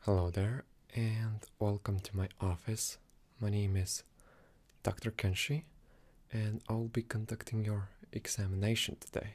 Hello there, and welcome to my office. My name is Dr. Kenshi, and I'll be conducting your examination today.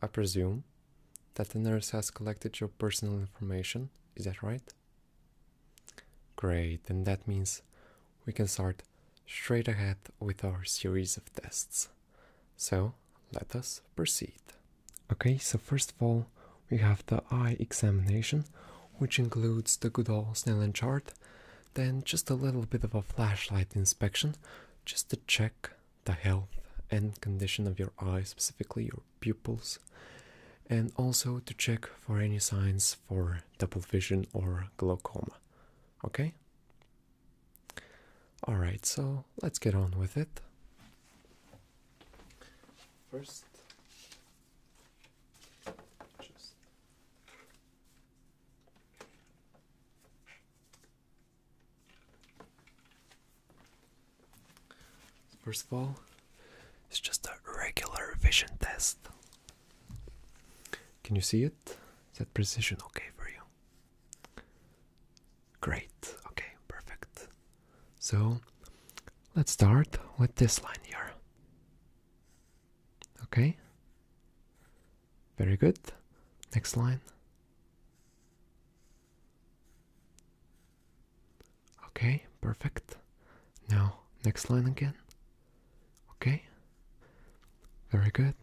I presume that the nurse has collected your personal information, is that right? Great, and that means we can start straight ahead with our series of tests. So let us proceed. Okay, so first of all, we have the eye examination, which includes the good old Snellen chart, then just a little bit of a flashlight inspection, just to check the health and condition of your eye, specifically your pupils, and also to check for any signs for double vision or glaucoma. Okay? All right, so let's get on with it. First, First of all, it's just a regular vision test. Can you see it? Is that precision okay for you? Great, okay, perfect. So let's start with this line here. Okay, very good. Next line. Okay, perfect. Now, next line again. Okay, very good.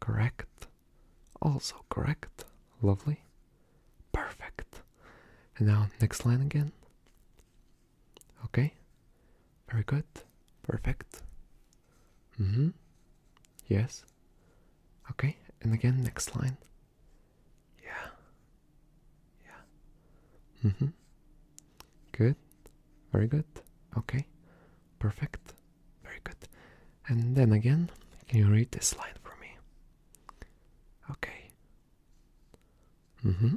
Correct. Also correct. Lovely. Perfect. And now next line again. Okay. Very good. Perfect. hmm. Yes. Okay. And again, next line. Yeah. Yeah. Mm hmm. Good. Very good. Okay. Perfect. Very good. And then again, can you read this line for me? Okay. Mm hmm.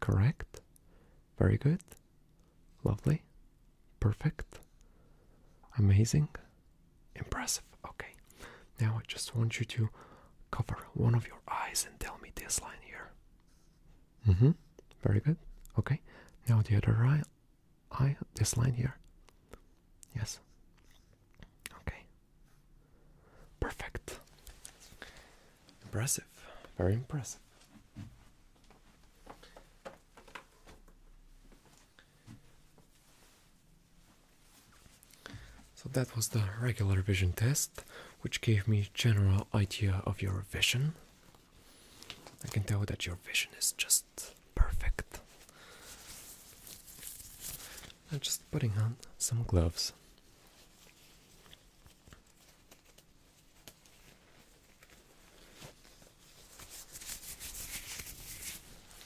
Correct. Very good. Lovely. Perfect. Amazing. Impressive. Okay. Now I just want you to cover one of your eyes and tell me this line here. Mm hmm. Very good. Okay. Now the other eye. I this line here? Yes. Okay. Perfect. Impressive. Very impressive. So that was the regular vision test, which gave me general idea of your vision. I can tell that your vision is just perfect. I'm just putting on some gloves.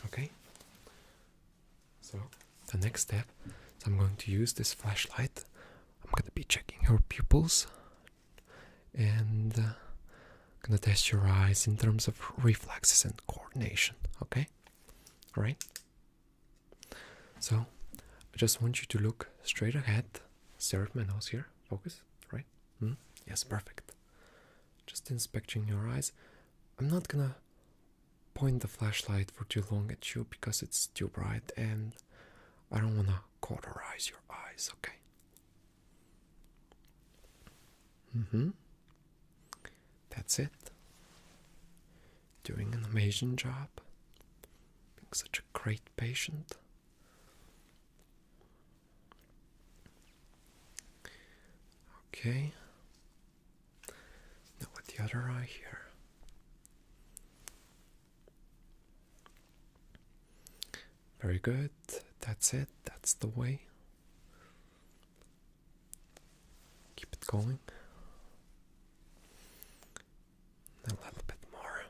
Okay, so the next step I'm going to use this flashlight. I'm going to be checking her pupils and uh, gonna test your eyes in terms of reflexes and coordination. Okay, all right. So I just want you to look straight ahead. Serve my nose here. Focus. Right. Hmm? Yes. Perfect. Just inspecting your eyes. I'm not gonna point the flashlight for too long at you because it's too bright and I don't wanna cauterize your eyes, okay? Mm-hmm. That's it. Doing an amazing job. Being such a great patient. Okay. Now with the other eye here. Very good. That's it. That's the way. Keep it going. A little bit more.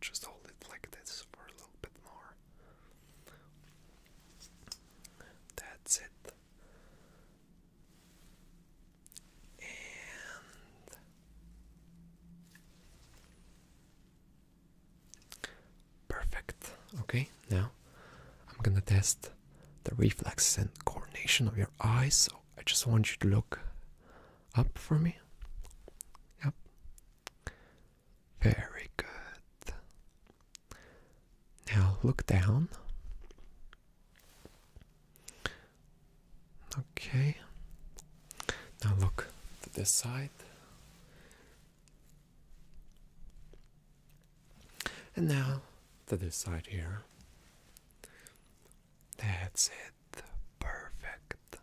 Just hold it like this for a little bit more. That's it. And Perfect. Okay, now I'm gonna test the reflex and coordination of your eyes. So I just want you to look up for me. Yep. Very good. Now look down. Okay. Now look to this side. And now to this side here. That's it. Perfect.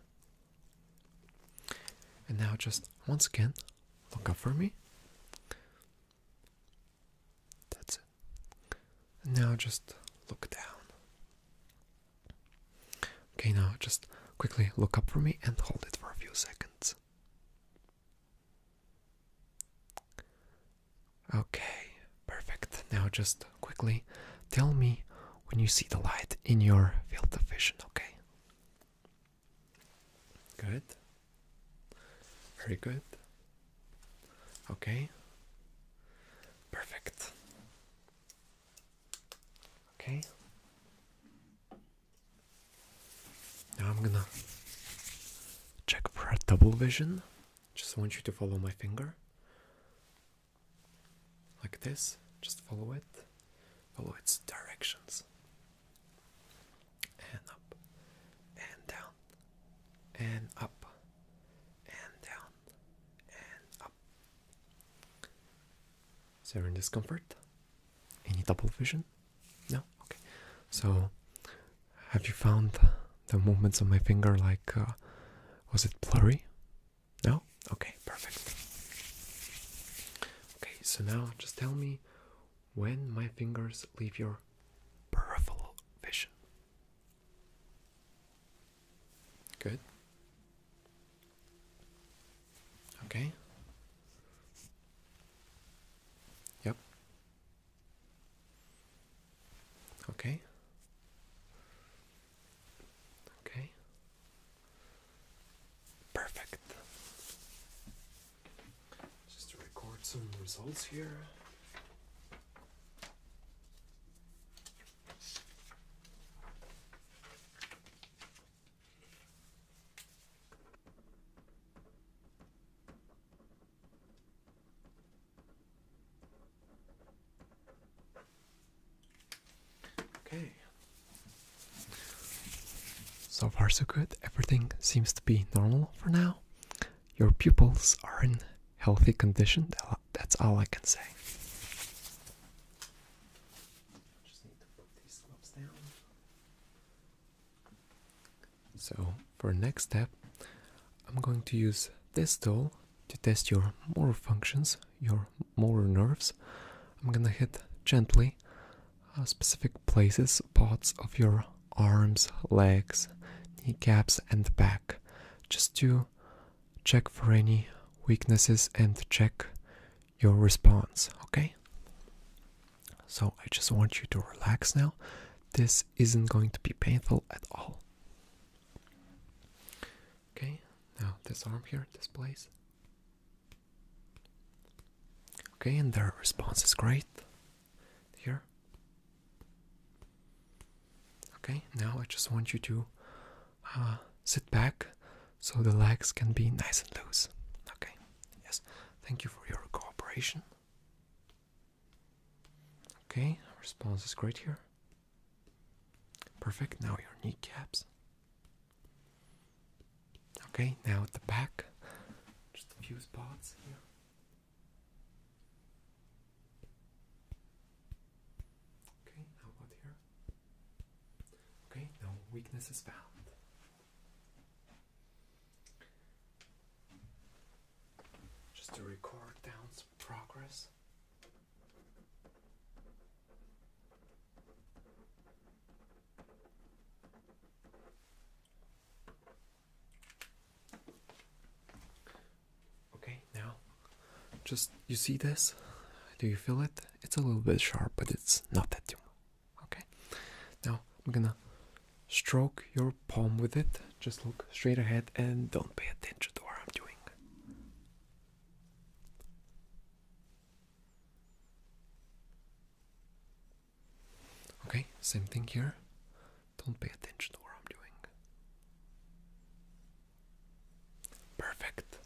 And now just once again, look up for me. That's it. And now just look down. Okay, now just quickly look up for me and hold it for a few seconds. Okay, perfect. Now just quickly tell me when you see the light in your field of vision, okay? Good. Very good. Okay. Perfect. Okay. Now I'm gonna check for double vision. Just want you to follow my finger. Like this. Just follow it. Follow its directions. And up. And down. And up. And down. And is there any discomfort? Any double vision? No? Okay. So, have you found the movements of my finger like, uh, was it blurry? No? Okay, perfect. Okay, so now just tell me when my fingers leave your peripheral vision. Good. Okay? Yep. Okay. Okay. Perfect. Just to record some results here. Okay. So far, so good. Everything seems to be normal for now. Your pupils are in healthy condition. That's all I can say. So for next step, I'm going to use this tool to test your motor functions, your motor nerves. I'm gonna hit gently uh, specific places, parts of your arms, legs, kneecaps, and back, just to check for any weaknesses and check your response, okay? So I just want you to relax now. This isn't going to be painful at all. Okay, now this arm here, this place. Okay, and their response is great. Here. Okay, now I just want you to uh, sit back so the legs can be nice and loose. Okay, yes, thank you for your cooperation. Okay, response is great here. Perfect, now your kneecaps. Okay, now at the back, just a few spots here. Okay, how about here? Okay, no weakness is found. Just to record down some progress. Okay, now just you see this? Do you feel it? It's a little bit sharp, but it's not that too Okay. Now I'm gonna stroke your palm with it. Just look straight ahead and don't pay attention to what I'm doing. Okay, same thing here. Don't pay attention to what I'm doing. Perfect.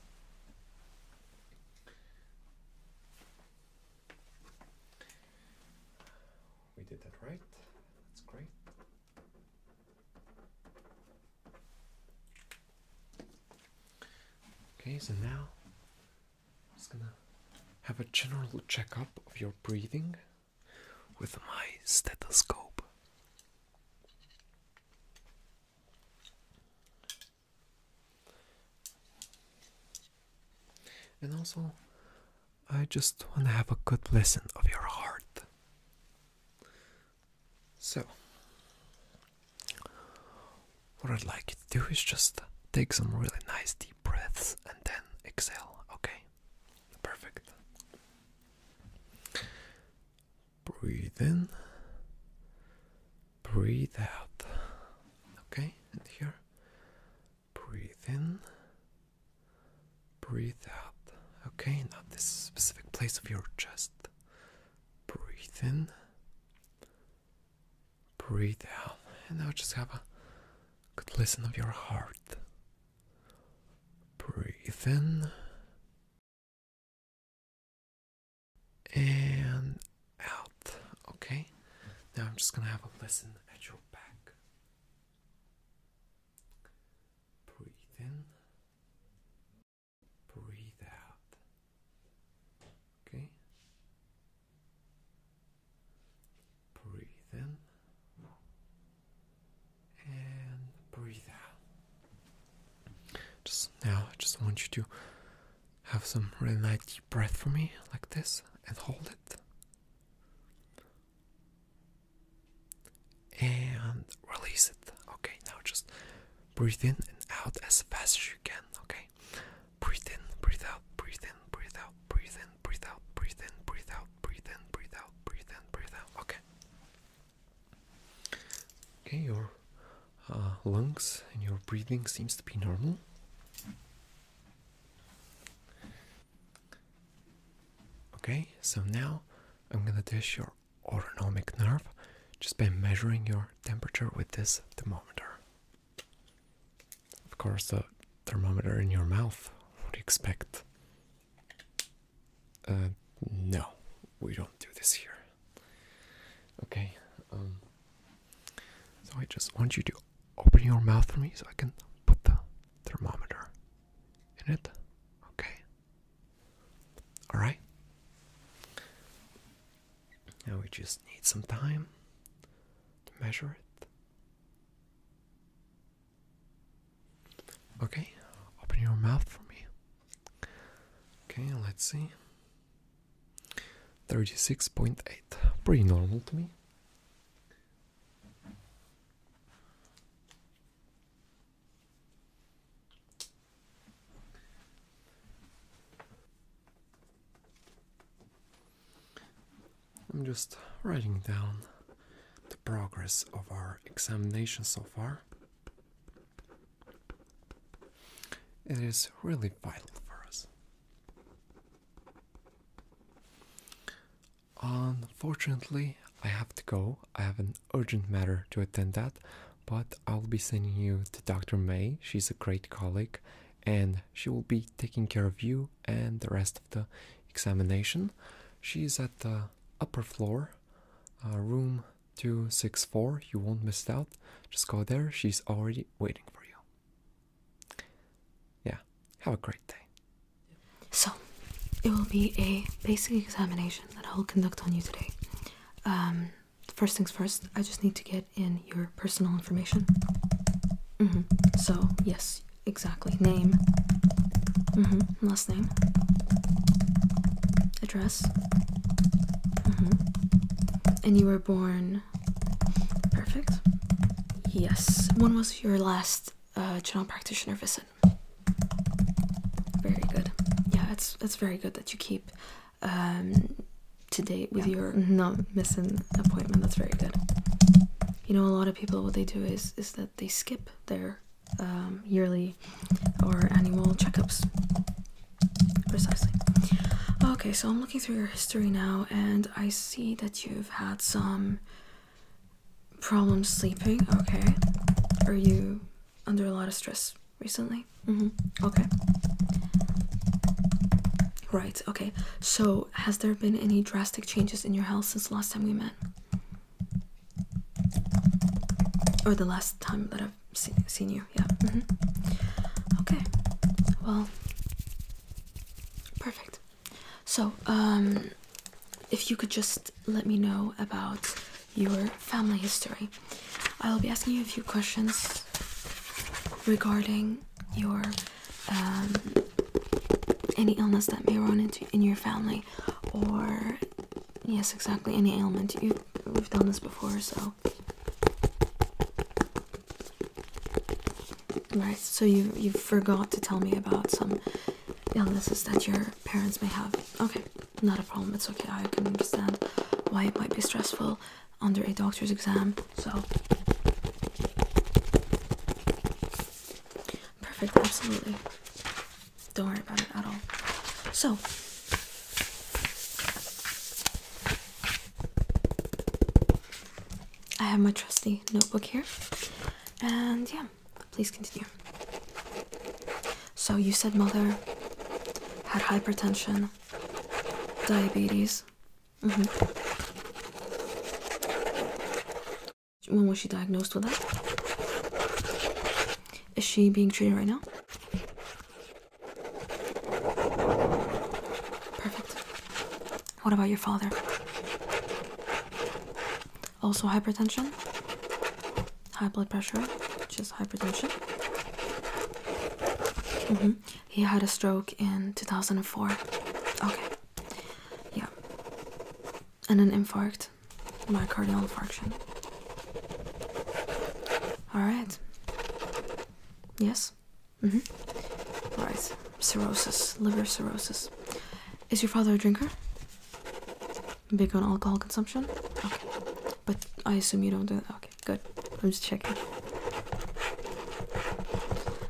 We did that right. That's great. Okay, so now I'm just gonna have a general checkup of your breathing with my stethoscope. And also, I just want to have a good listen of your heart. So, what I'd like you to do is just take some really nice deep breaths and then exhale, okay? Perfect. Breathe in, breathe out. Okay, and here, breathe in, breathe out. Okay, now this specific place of your chest. Breathe in, breathe out. And now just have a good listen of your heart. Breathe in, and out. Okay, now I'm just gonna have a listen at your back. Breathe in, breathe out. Okay, breathe in, and breathe out. Just now, I just want you to have some really nice deep breath for me, like this, and hold it. And release it. Okay, now just breathe in and out as fast as you can. Okay, breathe in, breathe out, breathe in, breathe out, breathe in, breathe out, breathe in, breathe out, breathe in, breathe out, breathe in, breathe out. Okay, Okay, your uh, lungs and your breathing seems to be normal. Okay, so now I'm gonna test your autonomic nerve just by measuring your temperature with this thermometer. Of course, the thermometer in your mouth, what do you expect? Uh, no, we don't do this here. Okay, um, so I just want you to open your mouth for me so I can put the thermometer in it. Okay, all right. Now we just need some time to measure it. Okay, open your mouth for me. Okay, let's see. 36.8. Pretty normal to me. I'm just writing down the progress of our examination so far. It is really vital for us. Unfortunately, I have to go. I have an urgent matter to attend that, but I'll be sending you to Dr. May. She's a great colleague and she will be taking care of you and the rest of the examination. She is at the upper floor uh, room 264. You won't miss out. Just go there. She's already waiting for you. Yeah, have a great day. So, it will be a basic examination that I will conduct on you today. Um, first things first, I just need to get in your personal information. Mm-hmm. So, yes, exactly. Name. Mm-hmm name, address, mm-hmm. and you were born. Perfect. Yes. When was your last uh, general practitioner visit? Very good. Yeah, it's it's very good that you keep um, to date with your not missing appointment. That's very good. You know, a lot of people what they do is is that they skip their um, yearly or annual checkups. Precisely. Okay, so I'm looking through your history now, and I see that you've had some problems sleeping. Okay. Are you under a lot of stress recently? Mm hmm. Okay. Right, okay. So, has there been any drastic changes in your health since last time we met? or the last time that I've seen, you. Yeah. Mm-hmm. Okay. Well, perfect. So, um, if you could just let me know about your family history, I'll be asking you a few questions regarding your um, any illness that may run into in your family or Yes, exactly. Any ailment. You've, we've done this before, so. Right, so you you forgot to tell me about some illnesses that your parents may have. Okay, not a problem. It's okay. I can understand why it might be stressful under a doctor's exam. So perfect, absolutely. Don't worry about it at all. So, I have my trusty notebook here, and yeah, please continue. So, you said mother had hypertension, diabetes. Mm-hmm. When was she diagnosed with that? Is she being treated right now? Perfect. What about your father? Also hypertension? High blood pressure, which is hypertension. Mm -hmm. He had a stroke in 2004. Okay. Yeah and an infarct, myocardial infarction. Alright. Yes? Mm hmm. Alright. Cirrhosis, liver cirrhosis. Is your father a drinker? Big on alcohol consumption? Okay. But I assume you don't do that. Okay, good. I'm just checking.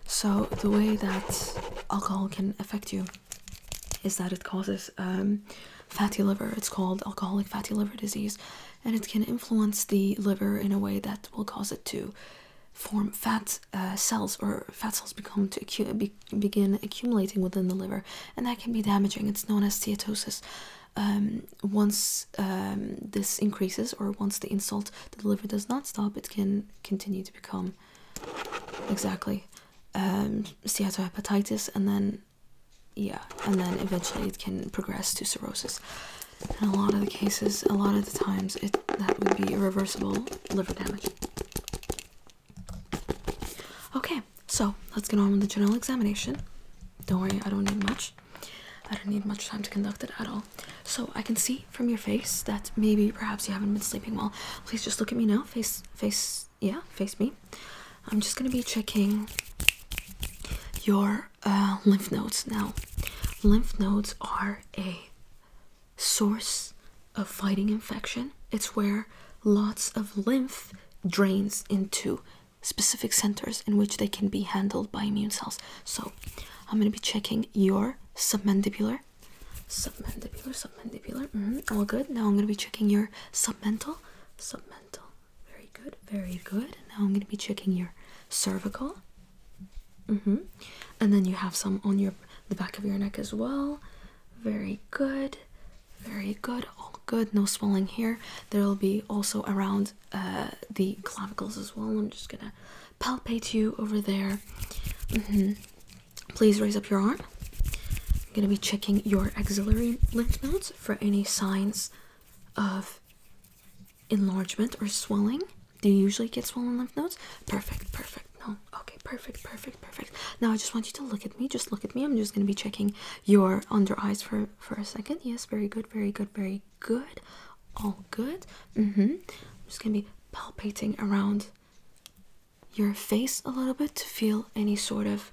So, the way that alcohol can affect you is that it causes um, fatty liver. It's called alcoholic fatty liver disease, and it can influence the liver in a way that will cause it to form fat uh, cells, or fat cells become to begin accumulating within the liver, and that can be damaging. It's known as steatosis. Um, once um, this increases, or once the insult to the liver does not stop, it can continue to become exactly um, steatohepatitis, and then yeah, and then eventually it can progress to cirrhosis. In a lot of the cases, a lot of the times, it that would be irreversible liver damage. Okay, so let's get on with the general examination. Don't worry, I don't need much. I don't need much time to conduct it at all. So I can see from your face that maybe perhaps you haven't been sleeping well. Please just look at me now, face face yeah face me i'm just going to be checking your uh, lymph nodes now lymph nodes are a source of fighting infection it's where lots of lymph drains into specific centers in which they can be handled by immune cells so i'm going to be checking your submandibular Submandibular, submandibular. Mm-hmm. All good. Now I'm going to be checking your submental, submental. Very good, very good. now I'm going to be checking your cervical. Mm -hmm. And then you have some on your the back of your neck as well. Very good, very good. All good. No swelling here. There will be also around uh, the clavicles as well. I'm just going to palpate you over there. Mm -hmm. Please raise up your arm. I'm going to be checking your axillary lymph nodes for any signs of enlargement or swelling. Do you usually get swollen lymph nodes? Perfect, perfect. No, okay, perfect, perfect, perfect. Now I just want you to look at me. Just look at me. I'm just going to be checking your under eyes for for a second. Yes, very good, very good, very good. All good. Mm-hmm. I'm just going to be palpating around your face a little bit to feel any sort of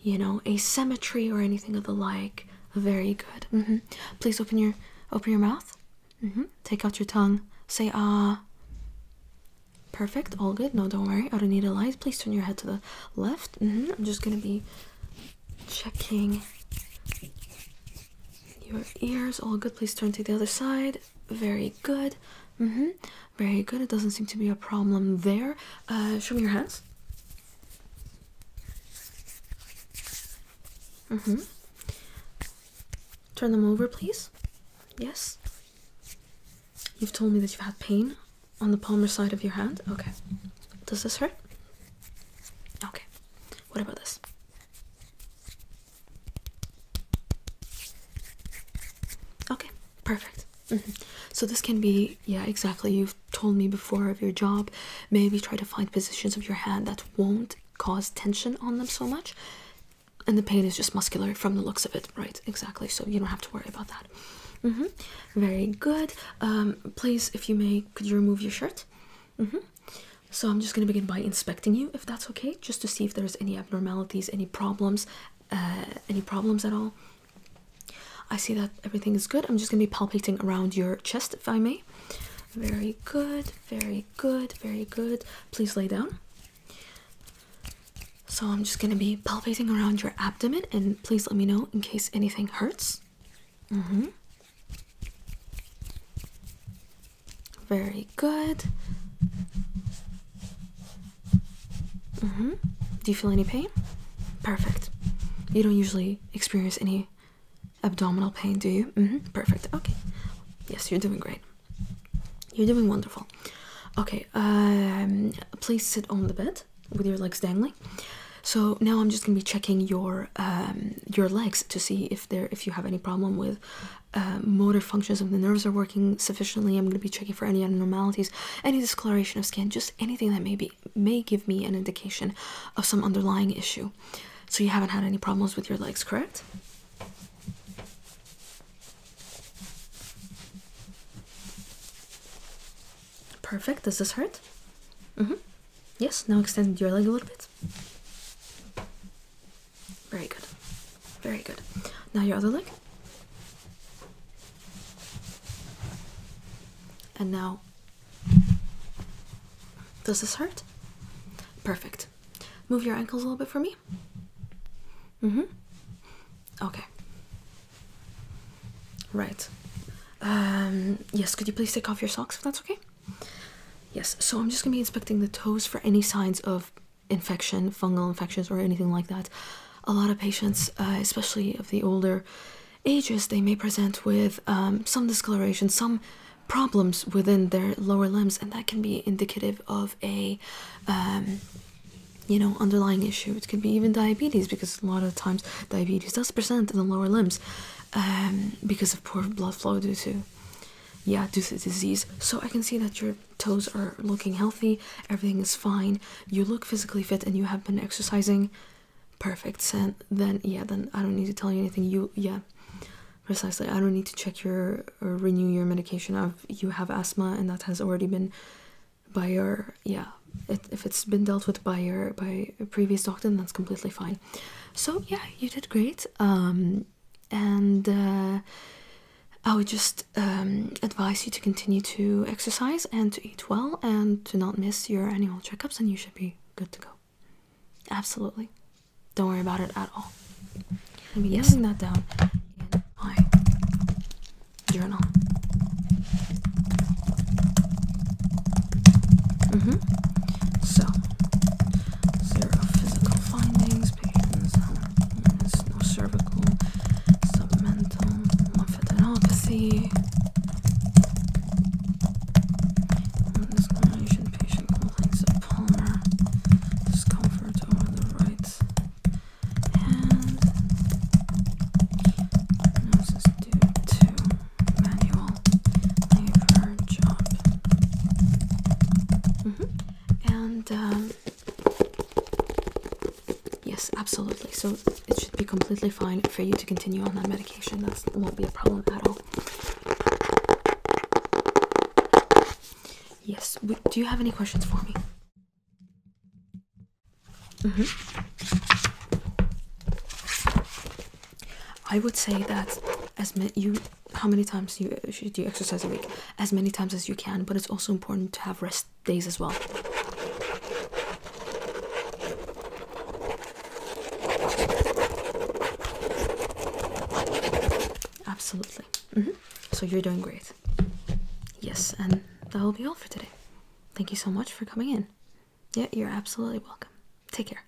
you know asymmetry or anything of the like very good mm-hmm. please open your open your mouth mm-hmm. take out your tongue say ah perfect all good no don't worry i don't need a light please turn your head to the left mm-hmm. i'm just gonna be checking your ears all good please turn to the other side very good. Mm -hmm. Very good. It doesn't seem to be a problem there. Uh, show me your hands. Mm -hmm. Turn them over, please. Yes. You've told me that you've had pain on the palmar side of your hand. Okay. Does this hurt? Okay. What about this? Okay, perfect. Mm-hmm. So this can be, yeah, exactly. You've told me before of your job. Maybe try to find positions of your hand that won't cause tension on them so much. And the pain is just muscular from the looks of it, right? Exactly. So you don't have to worry about that. Mm-hmm. Very good. Um, please, if you may, could you remove your shirt? Mm-hmm. So I'm just going to begin by inspecting you, if that's okay, just to see if there's any abnormalities, any problems, uh, any problems at all. I see that everything is good. I'm just going to be palpating around your chest, if I may. Very good, very good, very good. Please lay down. So I'm just going to be palpating around your abdomen, and please let me know in case anything hurts. Mm -hmm. Very good. Mm -hmm. Do you feel any pain? Perfect. You don't usually experience any abdominal pain, do you? Mm -hmm. Perfect. Okay. Yes, you're doing great. You're doing wonderful. Okay. Um, please sit on the bed with your legs dangling. So now I'm just gonna be checking your um, your legs to see if there if you have any problem with uh, motor functions of the nerves are working sufficiently. I'm going to be checking for any abnormalities, any discoloration of skin, just anything that may be may give me an indication of some underlying issue. So you haven't had any problems with your legs, correct? Perfect. Does this hurt? Mm-hmm. Yes. Now extend your leg a little bit. Very good. Very good. Now your other leg. And now, does this hurt? Perfect. Move your ankles a little bit for me. Mm-hmm. Okay. Right. Um, yes, could you please take off your socks if that's okay? Yes, so I'm just gonna be inspecting the toes for any signs of infection, fungal infections, or anything like that. A lot of patients, uh, especially of the older ages, they may present with um, some discoloration, some problems within their lower limbs, and that can be indicative of a um, you know underlying issue. It could be even diabetes because a lot of times diabetes does present in the lower limbs um, because of poor blood flow due to yeah due to disease so i can see that your toes are looking healthy everything is fine you look physically fit and you have been exercising perfect and then yeah then i don't need to tell you anything you yeah precisely i don't need to check your or renew your medication i you have asthma and that has already been by your yeah it, if it's been dealt with by your by previous doctor then that's completely fine so yeah you did great um and uh, I would just um, advise you to continue to exercise and to eat well and to not miss your annual checkups, and you should be good to go. Absolutely, don't worry about it at all. I'm yes. writing that down in journal. Mm -hmm. So zero physical findings, patients, no cervical, submental, lymphadenopathy. Discrimination patient complaints of palmar discomfort over the right hand. This due to manual Mm-hmm. And um, yes, absolutely. So it should be completely fine for you to continue on that medication. That won't be a problem at all. Yes. Do you have any questions for me? Mm-hmm. I would say that as met you how many times you should you exercise a week? As many times as you can, but it's also important to have rest days as well. Absolutely. Mm-hmm. So you're doing great. Yes, and that will be all for today. Thank you so much for coming in. Yeah, you're absolutely welcome. Take care.